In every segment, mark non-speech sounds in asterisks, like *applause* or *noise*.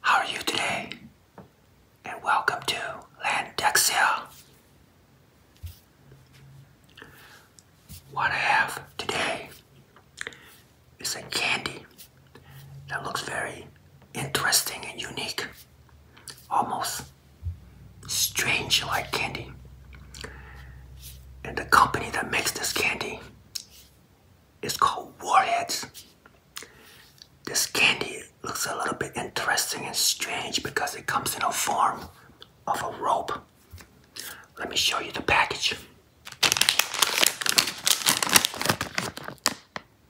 How are you today? And welcome to Landexia. What have today it's a candy that looks very interesting and unique, almost strange like candy. And the company that makes this candy is called Warheads. This candy looks a little bit interesting and strange because it comes in a form of a rope. Let me show you the package.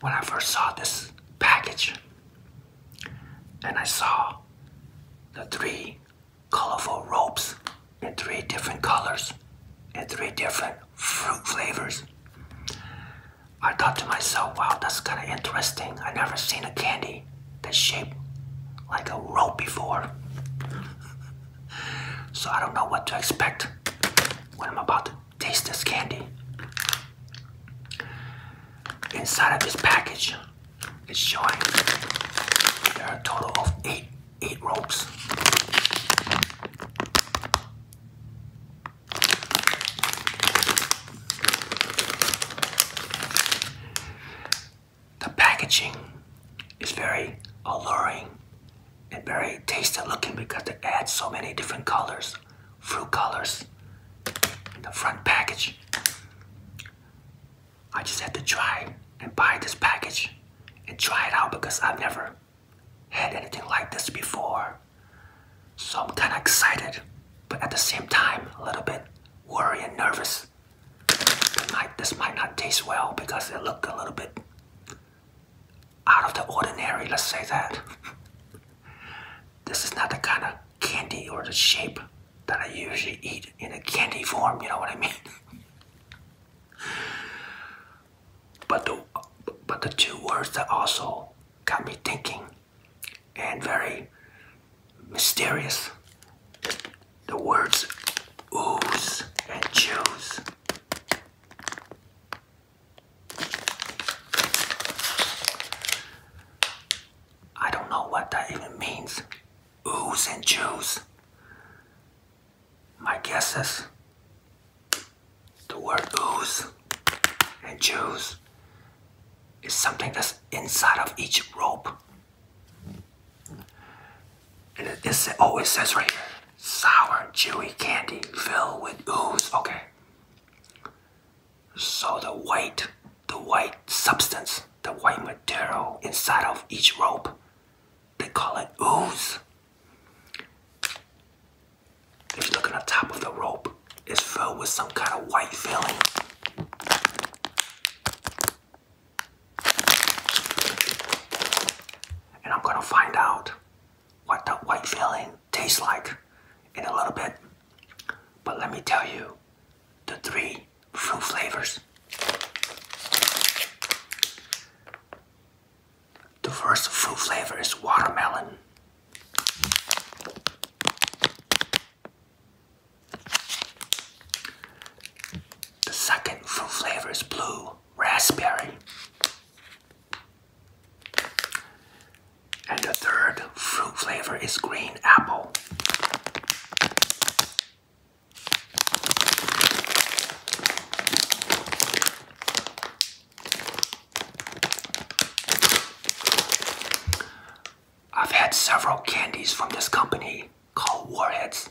When I first saw this package and I saw the three colorful ropes in three different colors and three different fruit flavors. I thought to myself, wow, that's kind of interesting. I never seen a candy that's shaped like a rope before. so I don't know what to expect when I'm about to taste this candy. Inside of this package it's showing there are a total of eight eight ropes. The packaging is very alluring and very tasty looking because they add so many different colors, fruit colors in the front package. I just had to try and buy this package and try it out because I've never had anything like this before. So I'm kind of excited, but at the same time, a little bit worried and nervous. this might not taste well because it looked a little bit out of the ordinary, let's say that. *laughs* this is not the kind of candy or the shape that I usually eat in a candy form, you know what I mean? but the but the two words that also got me thinking and very mysterious the words ooze and choose. I don't know what that even means oohs and Jews. My guess is the word oohs and Jews is something that's inside of each rope. And it, is, it always oh, says right here, sour, chewy candy filled with ooze. Okay. So the white, the white substance the white material inside of each rope. They call it ooze. If you look at the top of the rope, it's filled with some kind of white filling. And I'm gonna find out what that white filling tastes like in a little bit. But let me tell you, the three fruit flavors. The first fruit flavor is watermelon. The second fruit flavor is blue raspberry. And the third fruit flavor is green apple. I've had several candies from this company called Warheads,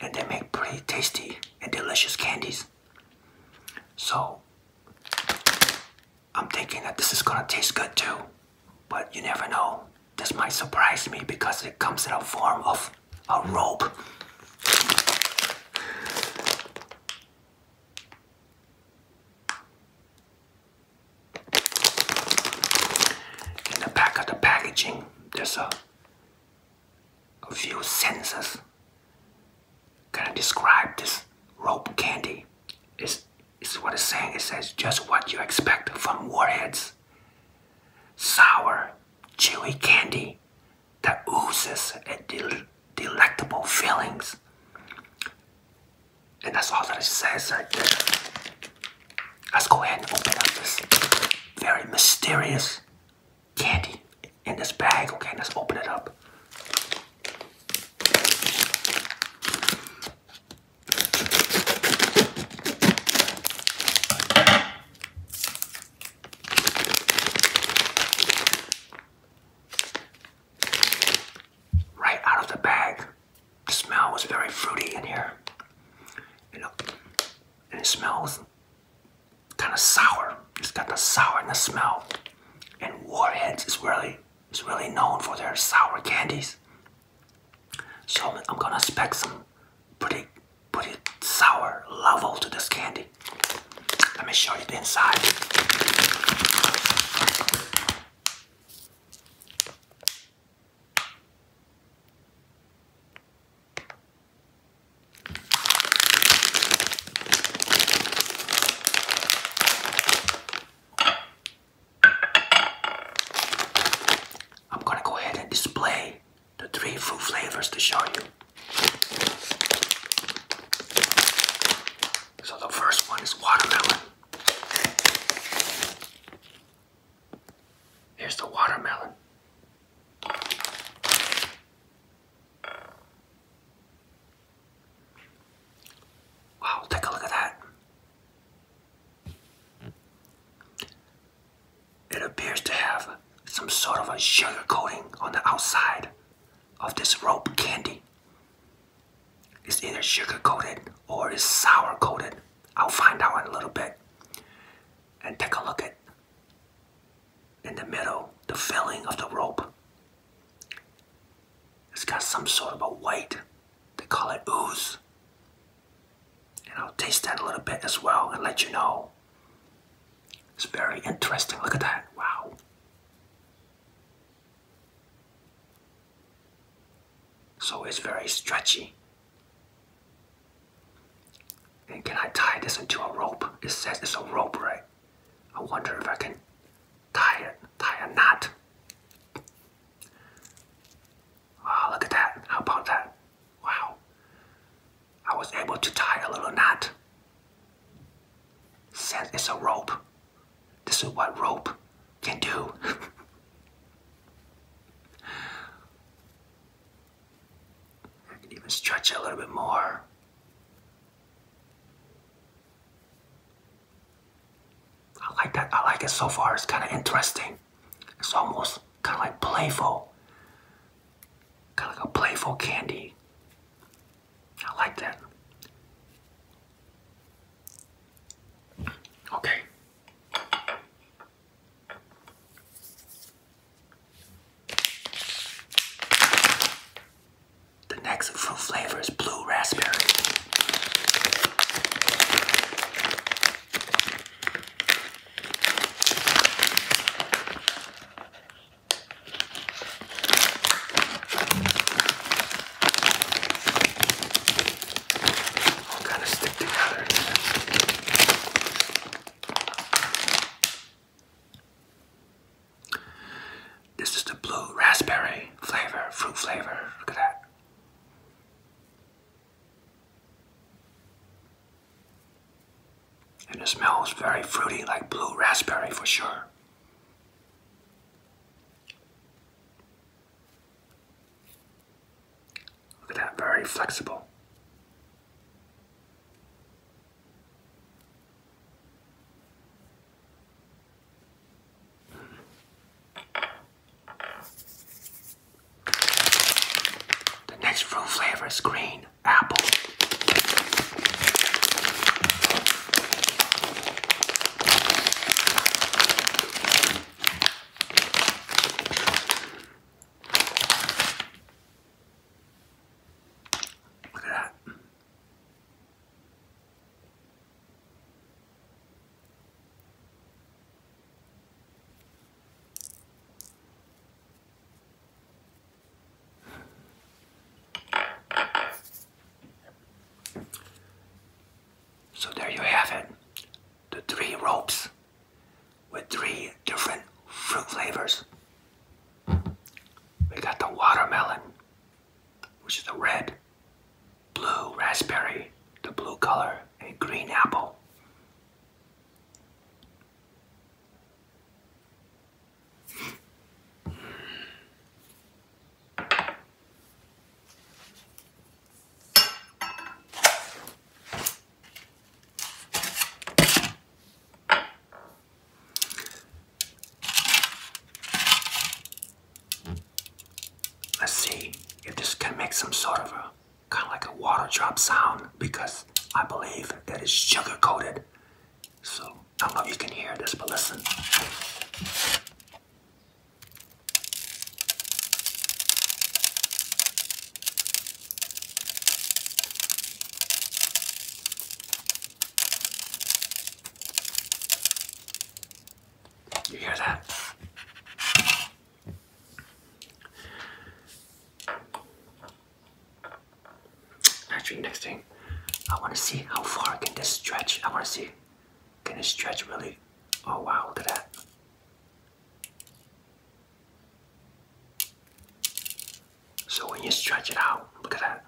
and they make pretty tasty and delicious candies. So I'm thinking that this is gonna taste good too. But you never know. This might surprise me because it comes in a form of a rope. In the back of the packaging, there's a, few sentences. Gonna describe this rope candy. It's, it's what it's saying. It says just what you expect from warheads sour, chewy candy that oozes at delectable fillings. And that's all that it says right there. Let's go ahead and open up this very mysterious candy in this bag. Okay, let's open it up. Right out of the bag. The smell was very fruity in here. You know, and it smells kind of sour. It's got the sour in the smell. And Warheads is really is really known for their sour candies. So I'm gonna expect some pretty, pretty sour level to this candy. Let me show you the inside. I'm gonna go ahead and display the three fruit flavors to show you. So the first one is watermelon. Here's the watermelon. Wow, take a look at that. It appears to have some sort of a sugar coating on the outside of this rope candy. It's either sugar coated or it's sour coated. I'll find out in a little bit. And take a look at in the middle, the filling of the rope. It's got some sort of a white, they call it ooze. And I'll taste that a little bit as well and let you know. It's very interesting. Look at that. Wow. So it's very stretchy. And can I tie this into a rope? It says it's a rope, right? I wonder if I can tie it, tie a knot. Wow, ah, look at that. How about that? Wow. I was able to tie a little knot. Since it's a rope, this is what rope can do. *laughs* I can even stretch it a little bit more. I like that. I like it so far. It's kind of interesting. It's almost kind of like playful, kind of like a playful candy. I like that. Okay. The next fruit flavor is blue raspberry. All kind of stick together. This is the blue raspberry flavor, fruit flavor. Look at that. And it smells very fruity, like blue raspberry for sure. Look at that, very flexible. The next fruit flavor is green apple. Look at that. So there you have it, the three ropes with three different fruit flavors. We got the watermelon, which is the red, blue raspberry, the blue color, and green apple. Let's see if this can make some sort of a kind of like a water drop sound because I believe that it's sugar coated. So I don't know if you can hear this, but listen. You hear that? Actually, next thing, I want to see how far can this stretch. I want to see, can it stretch really? Oh wow, look at that. So when you stretch it out, look at that.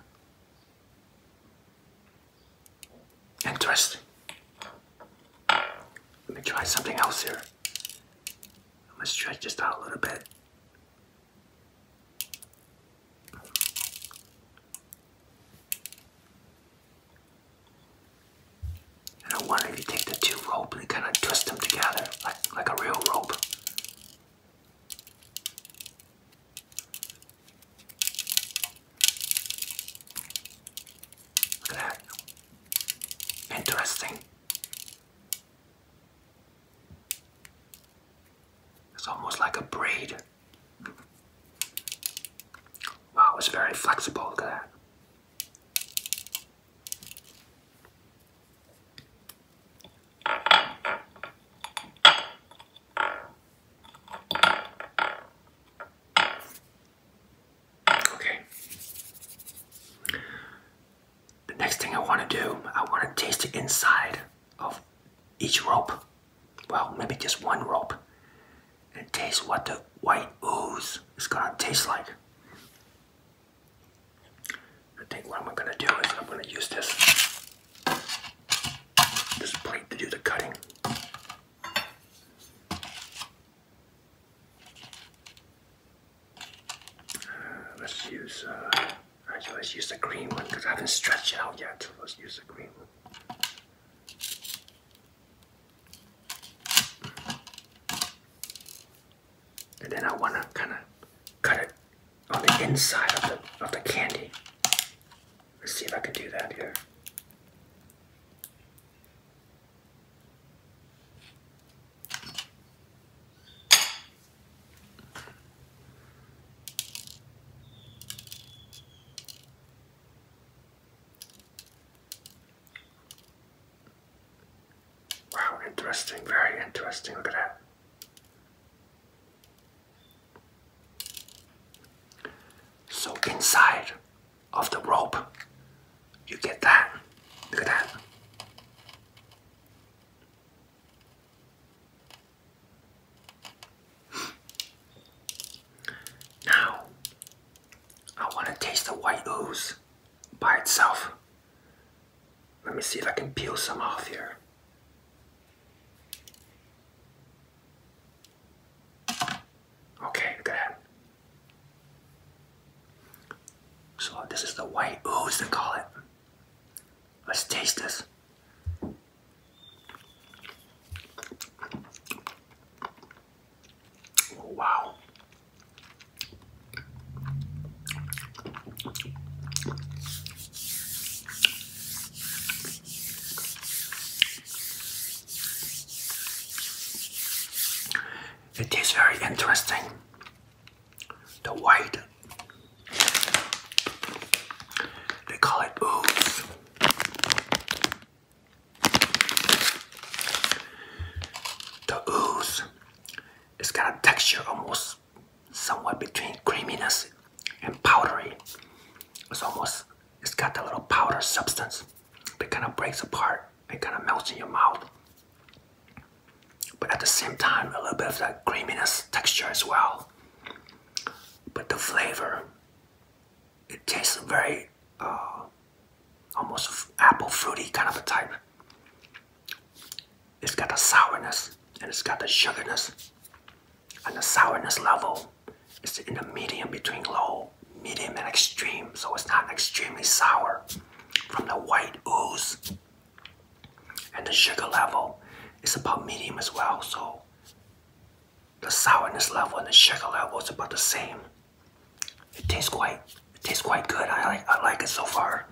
Interesting. Let me try something else here. I'm gonna stretch this out a little bit. And I wonder if you take the two rope and kind of twist them together like, like a real rope. Look at that. Interesting. It's almost like a braid. Wow, it's very flexible, There. Okay. The next thing I want to do, I want to taste the inside of each rope. Well, maybe just one rope. And taste what the white ooze is gonna taste like. I think what I'm gonna do is I'm gonna use this this plate to do the cutting. Uh, let's use, uh, actually let use the green one because I haven't stretched it out yet. Let's use the green one. And then I want to kind of cut it on the inside of the, of the candy. Let's see if I can do that here. Wow, interesting, very interesting. Look at that. So inside of the rope you get that? Look at that. Now, I want to taste the white ooze by itself. Let me see if I can peel some off here. Okay, look at so this is the white ooze they call it. Let's taste this. Oh, wow. It very interesting the white. They call it ooze. The ooze, it's got a texture almost somewhat between creaminess and powdery. It's almost, it's got that little powder substance that kind of breaks apart and kind of melts in your mouth but at the same time a little bit of that creaminess texture as well but the flavor it tastes very uh, almost apple fruity kind of a type it's got the sourness and it's got the sugarness and the sourness level is in the medium between low medium and extreme so it's not extremely sour from the white ooze and the sugar level is about medium as well, so the sourness level and the sugar level is about the same. It tastes quite it tastes quite good. I like I like it so far.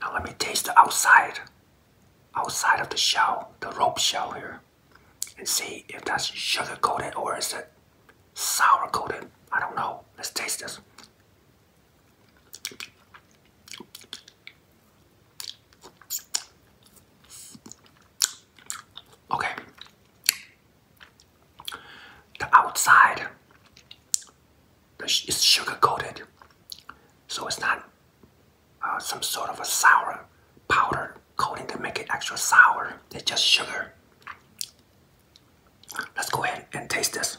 Now let me taste the outside outside of the shell, the rope shell here, and see if that's sugar coated or is it sour coated. I don't know. Let's taste this. Okay. The outside is sugar coated, so it's not uh, some sort of a sour powder coating to make it extra sour. It's just sugar. Let's go ahead and taste this.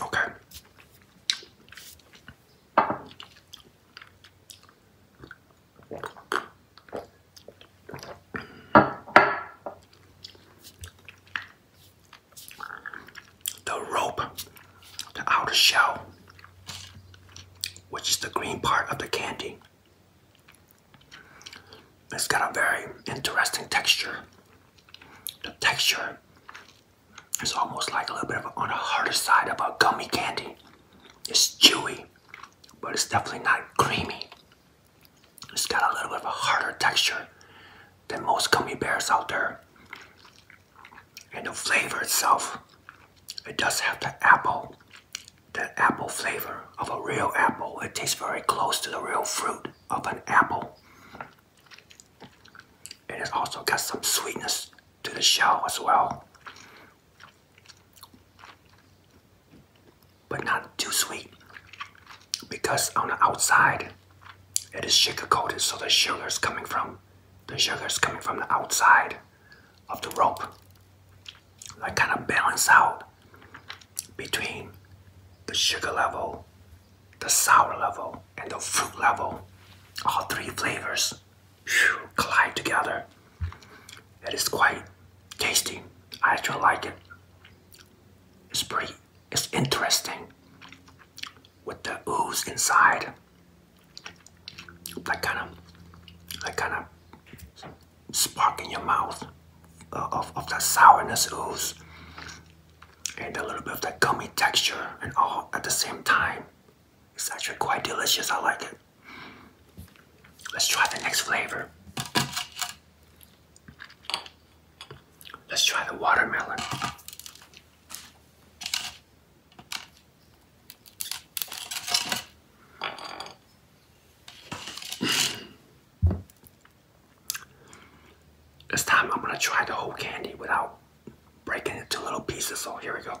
Okay. The rope, the outer shell, which is the green part of the candy. It's got a very interesting texture. The texture is almost like a little bit of on the harder side of a gummy candy. It's chewy, but it's definitely not creamy. It's got a little bit of a harder texture than most gummy bears out there. And the flavor itself, it does have the apple, that apple flavor of a real apple. It tastes very close to the real fruit of an apple. It has also got some sweetness to the shell as well. But not too sweet because on the outside it is sugar coated so the sugar is coming from the sugar is coming from the outside of the rope. that kind of balance out between the sugar level, the sour level, and the fruit level. All three flavors collide together. It is quite tasty. I actually like it. It's pretty, it's interesting with the ooze inside. That kind of, that kind of spark in your mouth uh, of, of that sourness ooze and a little bit of that gummy texture and all at the same time. It's actually quite delicious. I like it. Let's try the next flavor. Let's try the watermelon. This time I'm gonna try the whole candy without breaking it into little pieces. So here we go.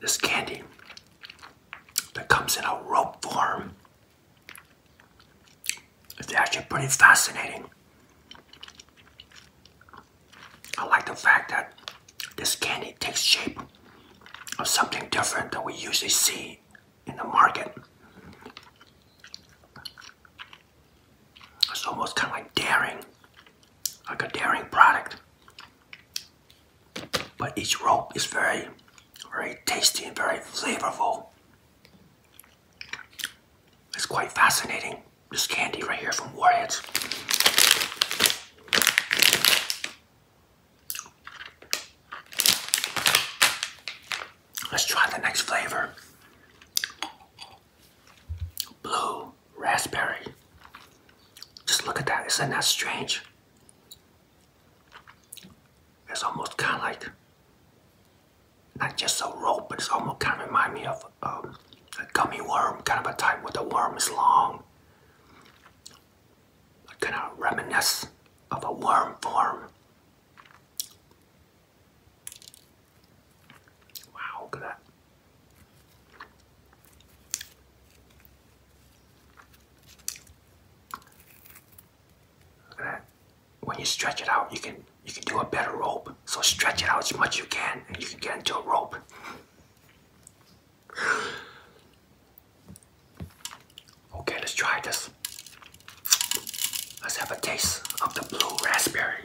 This candy that comes in a rope form. is actually pretty fascinating. I like the fact that this candy takes shape of something different that we usually see in the market. It's almost kind of like daring, like a daring product. But each rope is very, very tasty and very flavorful. It's quite fascinating this candy right here from Warheads. Let's try the next flavor. Blue raspberry. Just look at that. Isn't that strange? It's almost kind of like, not just so rope, but it's almost kind of remind me of um, a gummy worm, kind of a type where the worm is long. I kind of reminisce of a worm form. Wow, look at that. Look at that. When you stretch it out, you can you can do a better rope. So stretch it out as much as you can, and you can get into a rope. Okay, let's try this. Let's have a taste of the blue raspberry.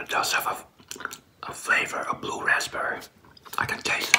It does have a, a flavor of blue raspberry. I can taste it.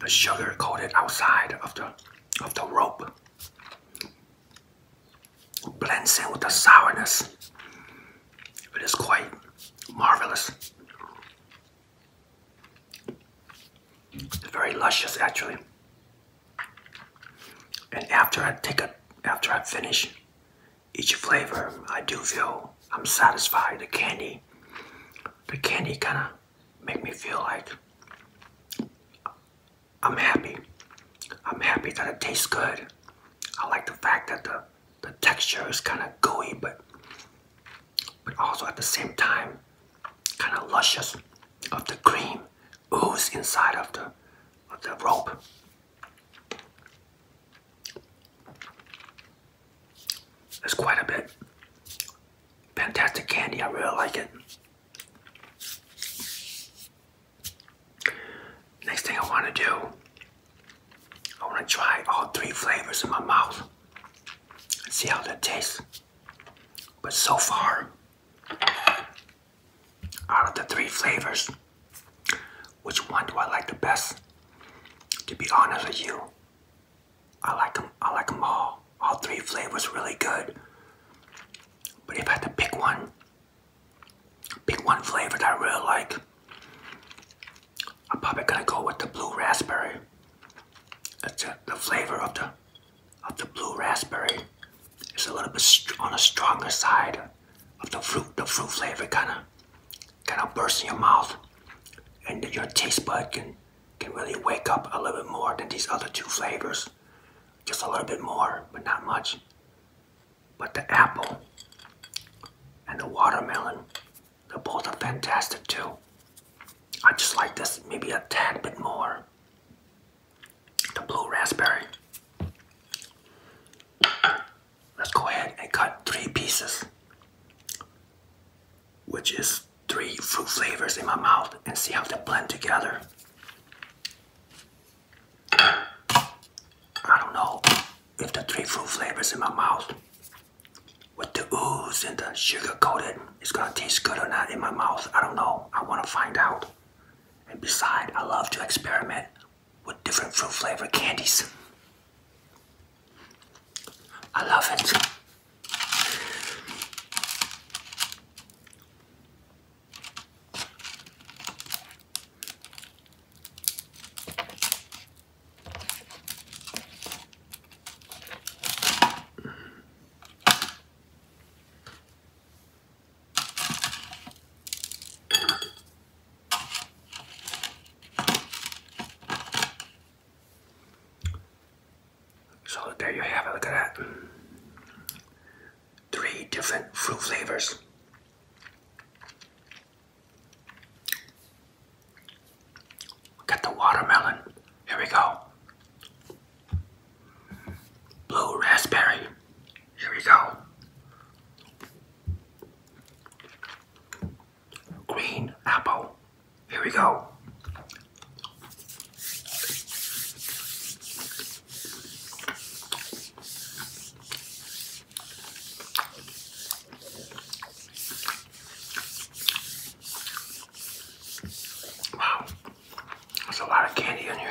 the sugar coated outside of the of the rope blends in with the sourness. It is quite marvelous. It's very luscious actually. And after I take it, after I finish each flavor, I do feel I'm satisfied. The candy, the candy kind of make me feel like I'm happy. I'm happy that it tastes good. I like the fact that the, the texture is kind of gooey, but but also at the same time, kind of luscious of the cream ooze inside of the of the rope. That's quite a bit. Fantastic candy. I really like it. Next thing I want to do, I want to try all three flavors in my mouth and see how that tastes. But so far, out of the three flavors, which one do I like the best? To be honest with you, I like them. I like them all. All three flavors really good. But if I had to pick one, pick one flavor that I really like, I'm probably gonna go with the blue raspberry. That's The flavor of the of the blue raspberry is a little bit on the stronger side of the fruit, the fruit flavor kind of kind of bursts in your mouth, and your taste bud can can really wake up a little bit more than these other two flavors. Just a little bit more, but not much. But the apple and the watermelon, they're both fantastic too. I just like this maybe a tad bit more. The blue raspberry let's go ahead and cut three pieces, which is three fruit flavors in my mouth, and see how they blend together. I don't know if the three fruit flavors in my mouth with the ooze and the sugar coated is gonna taste good or not in my mouth. I don't know. I wanna find out. And besides, I love to experiment with different fruit flavor candies. I love it. So there you have it, look at that. Three different fruit flavors. Got the watermelon. Here we go. Blue raspberry. Here we go. Green apple. Here we go. Wow, there's a lot of candy in here.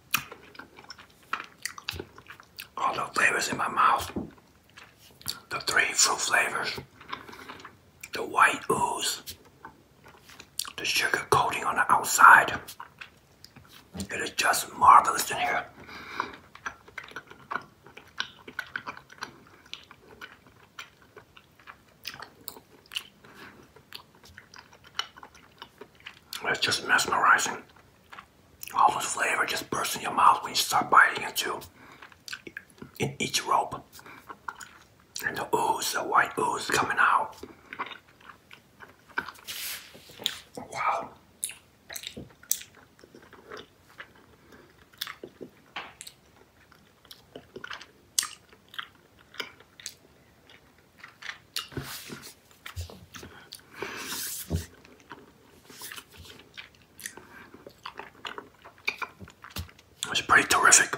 all the flavors in my mouth the three fruit flavors the white ooze the sugar coating on the outside it is just marvelous in here it's just mesmerizing all this flavor just bursts in your mouth when you start biting into in each rope. And the ooze, the white ooze coming out. Wow. It's pretty terrific.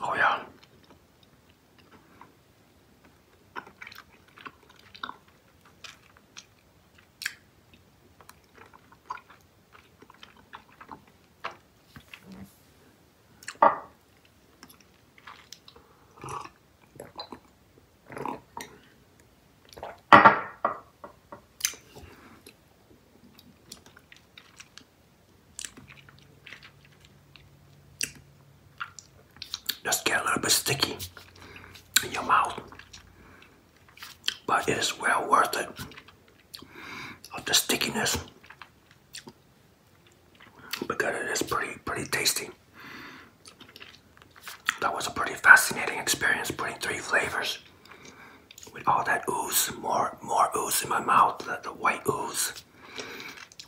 Oh, yeah. Just get a little bit sticky in your mouth, but it is well worth it of the stickiness because it is pretty pretty tasty. That was a pretty fascinating experience putting three flavors with all that ooze, more more ooze in my mouth, the, white ooze.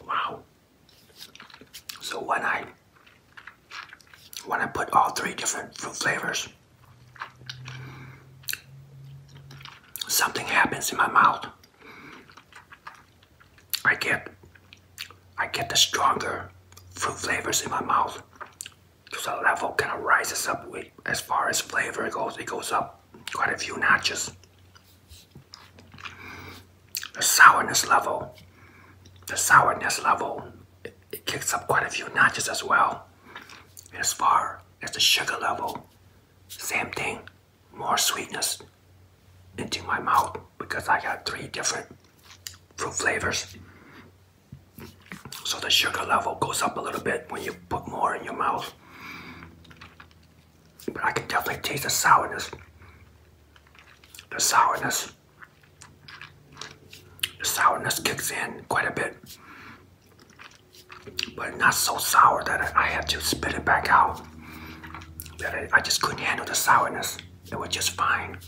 Wow. So when I when I put all three different fruit flavors, something happens in my mouth. I get I get the stronger fruit flavors in my mouth. So the level kind of rises up with, as far as flavor goes. It goes up quite a few notches. The sourness level, the sourness level, it, kicks up quite a few notches as well. as far as the sugar level, same thing, more sweetness into my mouth because I got three different fruit flavors. So the sugar level goes up a little bit when you put more in your mouth. But I can definitely taste the sourness. The sourness. The sourness kicks in quite a bit. But not so sour that I had to spit it back out. That I, I just couldn't handle the sourness it was just fine.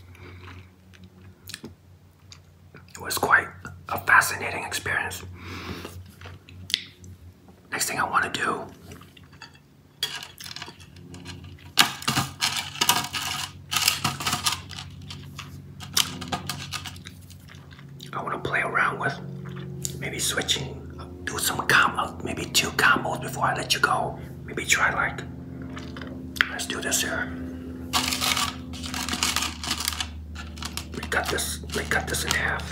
It was quite a fascinating experience. Next thing I want to do I want to play around with maybe switching, do some combos, maybe two combos before I let you go. Maybe try like, let's do this here. We cut this, we cut this in half.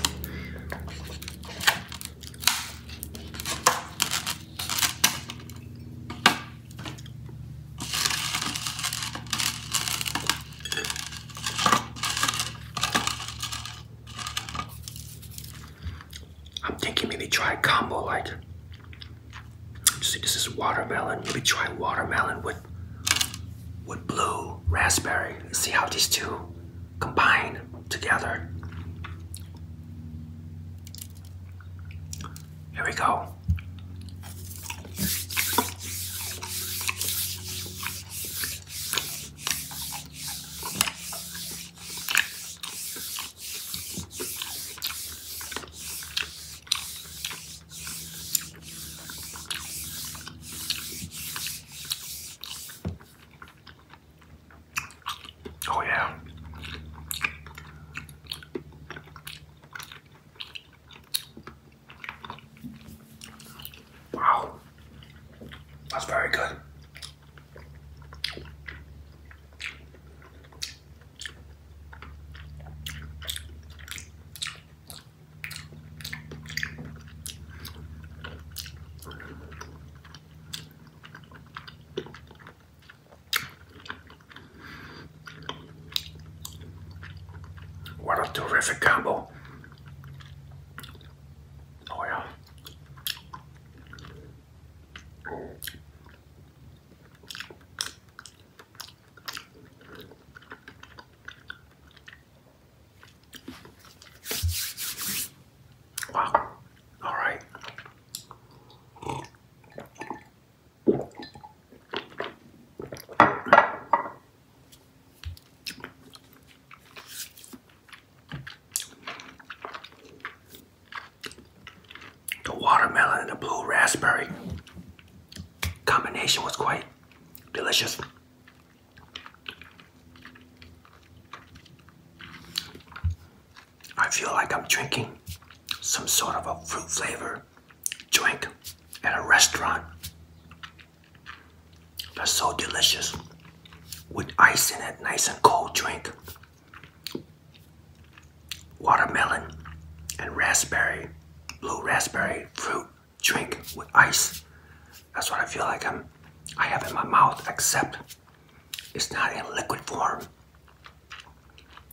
I'm thinking maybe try combo like See, this is watermelon. Let me try watermelon with with blue raspberry. let see how these two combine together. Here we go. Oh, yeah. Wow, that's very good. What a terrific combo. Oh yeah. Wow. All right. The watermelon and the blue raspberry combination was quite delicious. I feel like I'm drinking some sort of a fruit flavor drink at a restaurant. That's so delicious with ice in it, nice and cold drink watermelon, and raspberry, blue raspberry fruit drink with ice. That's what I feel like I'm, I have in my mouth, except it's not in liquid form.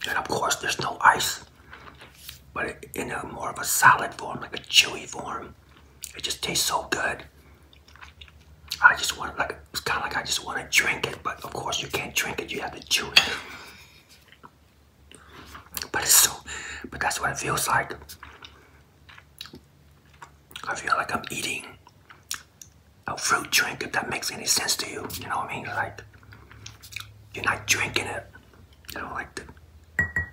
And of course, there's no ice, but in a more of a solid form, like a chewy form. It just tastes so good. I just want like it's kind of like I just want to drink it, but of course you can't drink it. You have to chew it. But it's so. But that's what it feels like. I feel like I'm eating a fruit drink. If that makes any sense to you, you know what I mean? Like you're not drinking it. You know, like the,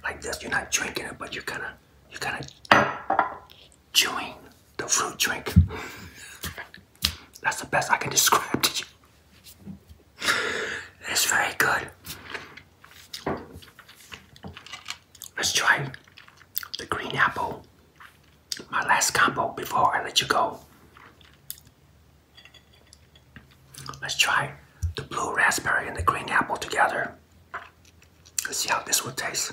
like this. You're not drinking it, but you're kind of you're kind of chewing the fruit drink. That's the best I can *laughs* describe to you. It's very good. Let's try the green apple. My last combo before I let you go. Let's try the blue raspberry and the green apple together. Let's see how this would taste.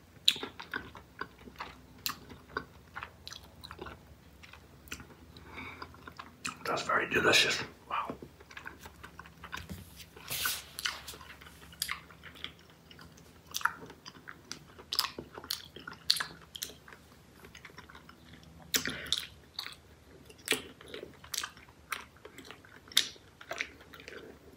That's very delicious. Wow.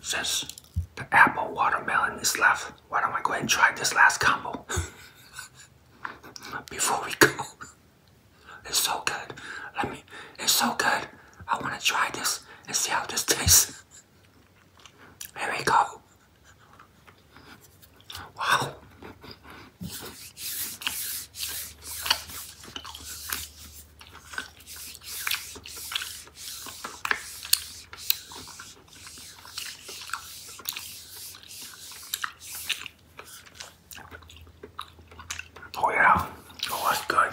Since the apple watermelon is left, why don't I go ahead and try this last combo? *laughs* before we go. It's so good. Let me. It's so good. I want to try this and see how this tastes. Here we go. Wow. Oh yeah, oh that's good.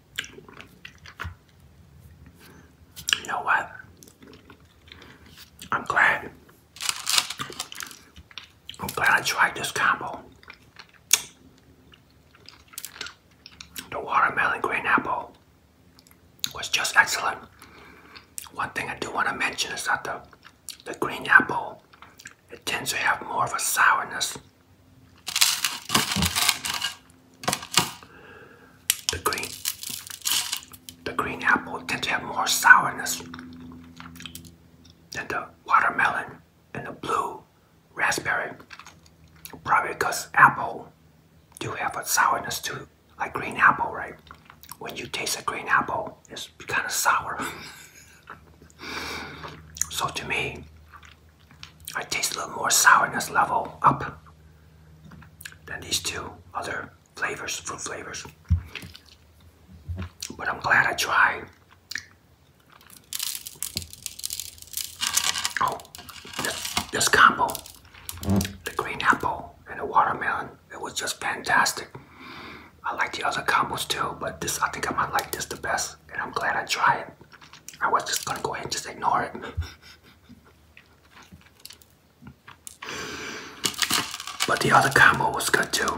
You know what? I'm glad. I'm glad I tried this combo. The watermelon green apple was just excellent. One thing I do want to mention is that the, the green apple, it tends to have more of a sourness. The green, the green apple tend to have more sourness than the watermelon and the blue raspberry. Probably because apple do have a sourness too, like green apple, right? When you taste a green apple, it's kind of sour. *laughs* so to me, I taste a little more sourness level up than these two other flavors, fruit flavors. But I'm glad I tried. Oh, this, this combo, the green apple and the watermelon, it was just fantastic. I like the other combos too, but this I think I might like this the best, and I'm glad I tried it. I was just gonna go ahead and just ignore it. *laughs* But the other camel was good too.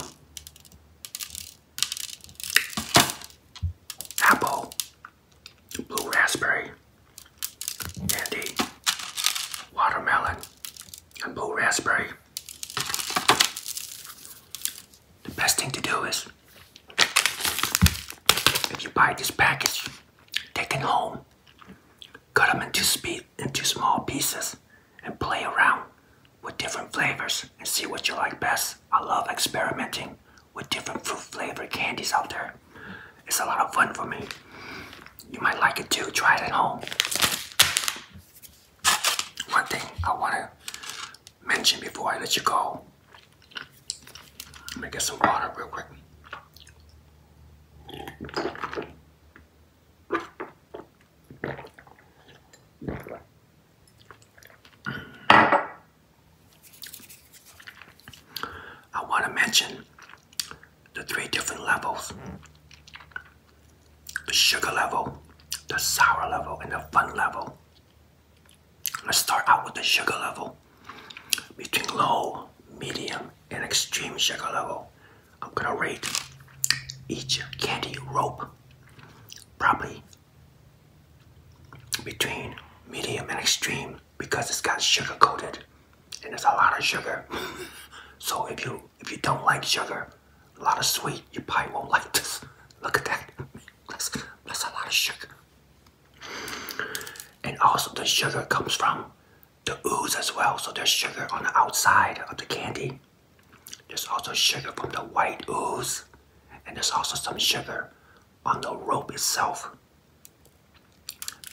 Apple, blue raspberry, candy, watermelon, and blue raspberry. The best thing to do is if you buy this package, take it home Cut them into, small pieces and play around with different flavors and see what you like best. I love experimenting with different fruit flavored candies out there. It's a lot of fun for me. You might like it too. Try it at home. One thing I want to mention before I let you go. Let me get some water real quick. I want to mention the three different levels the sugar level, the sour level, and the fun level. Let's start out with the sugar level. Between low, medium, and extreme sugar level, I'm gonna rate each candy rope probably between medium and extreme because it's got sugar coated and it's a lot of sugar. *laughs* so if you if you don't like sugar, a lot of sweet, you probably won't like this. Look at that. That's, that's a lot of sugar. And also the sugar comes from the ooze as well. So there's sugar on the outside of the candy. There's also sugar from the white ooze. And there's also some sugar on the rope itself.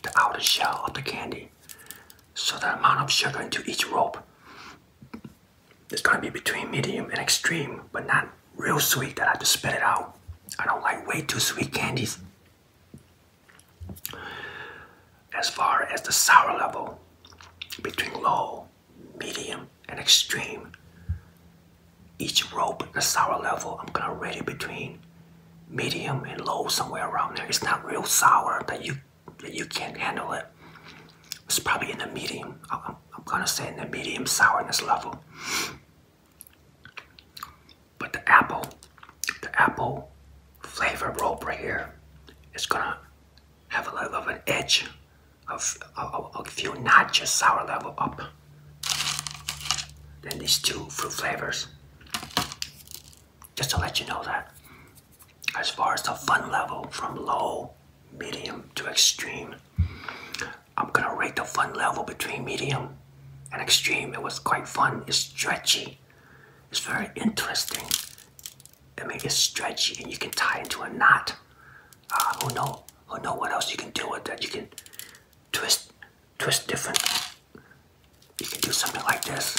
The outer shell of the candy. So the amount of sugar into each rope is going to be between medium and extreme, but not real sweet that I have to spit it out. I don't like way too sweet candies. As far as the sour level, between low, medium, and extreme, each rope, the sour level, I'm gonna rate it between medium and low, somewhere around there. It's not real sour that you that you can't handle it. It's probably in the medium. I'm, I'm gonna say in the medium sourness level. But the apple, the apple flavor rope right here is gonna have a little of an edge of a, a few notches sour level up Then these two fruit flavors. Just to let you know that as far as the fun level from low, medium to extreme, I'm gonna rate the fun level between medium an extreme. It was quite fun. It's stretchy. It's very interesting. I mean, it's stretchy, and you can tie into a knot. Uh, who know? Who know what else you can do with that? You can twist, twist different. You can do something like this.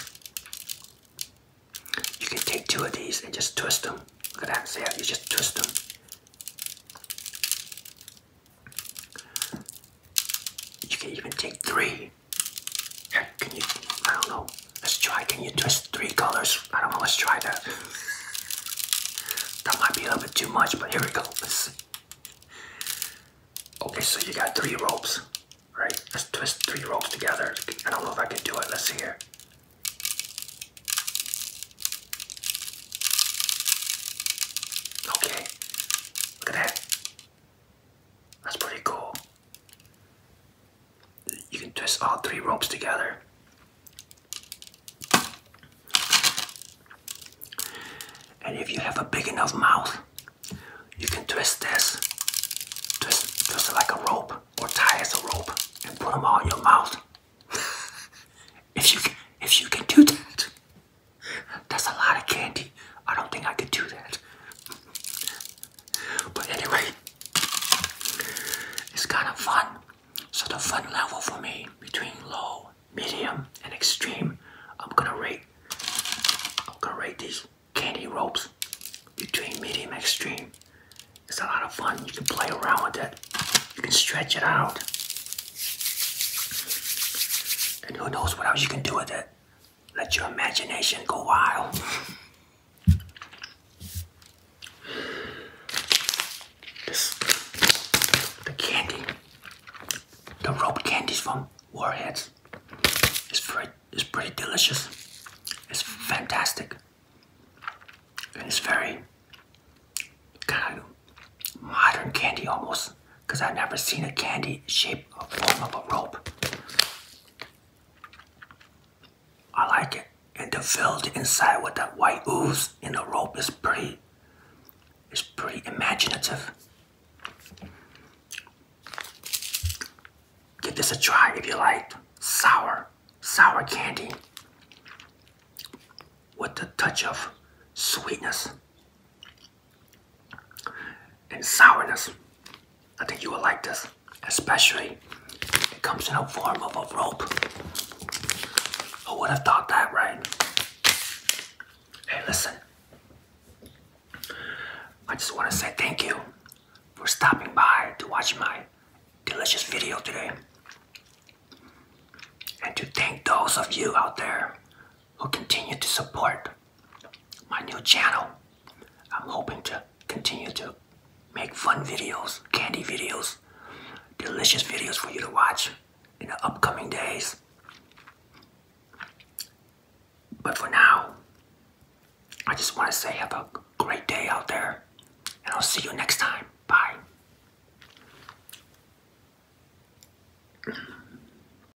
You can take two of these and just twist them. Look at that. See you just twist them. You can even take three. can you? I don't know. Let's try. Can you twist three colors? I don't know. Let's try that. That might be a little bit too much, but here we go. Okay, so you got three ropes, right? Let's twist three ropes together. I don't know if I can do it. Let's see here. Okay. Look at that. That's pretty cool. You can twist all three ropes together. And if you have a big enough mouth, you can twist this, twist, twist it like a rope, or tie as a rope, and put them all in your mouth. *laughs* if you can, if you can do that, that's a lot of candy. I don't think I could do that. But anyway, it's kind of fun. So the fun level for me between low, medium, and extreme, I'm gonna rate. I'm gonna rate these candy ropes between medium and extreme. It's a lot of fun. You can play around with it. You can stretch it out. And who knows what else you can do with it. Let your imagination go wild. This, the candy, the rope candies from Warheads, is pretty, is pretty delicious. It's fantastic, and it's very modern candy almost because I've never seen a candy shaped form of a rope. I like it. And to fill the inside with that white ooze in the rope is pretty It's pretty imaginative. Give this a try if you like. Sour, sour candy with a touch of sweetness and sourness. I think you will like this, especially it comes in the form of a rope. Who would have thought that, right? Hey, listen. I just want to say thank you for stopping by to watch my delicious video today. And to thank those of you out there who continue to support my new channel. I'm hoping to continue to make fun videos, candy videos, delicious videos for you to watch in the upcoming days. But for now, I just want to say have a great day out there, and I'll see you next time. Bye.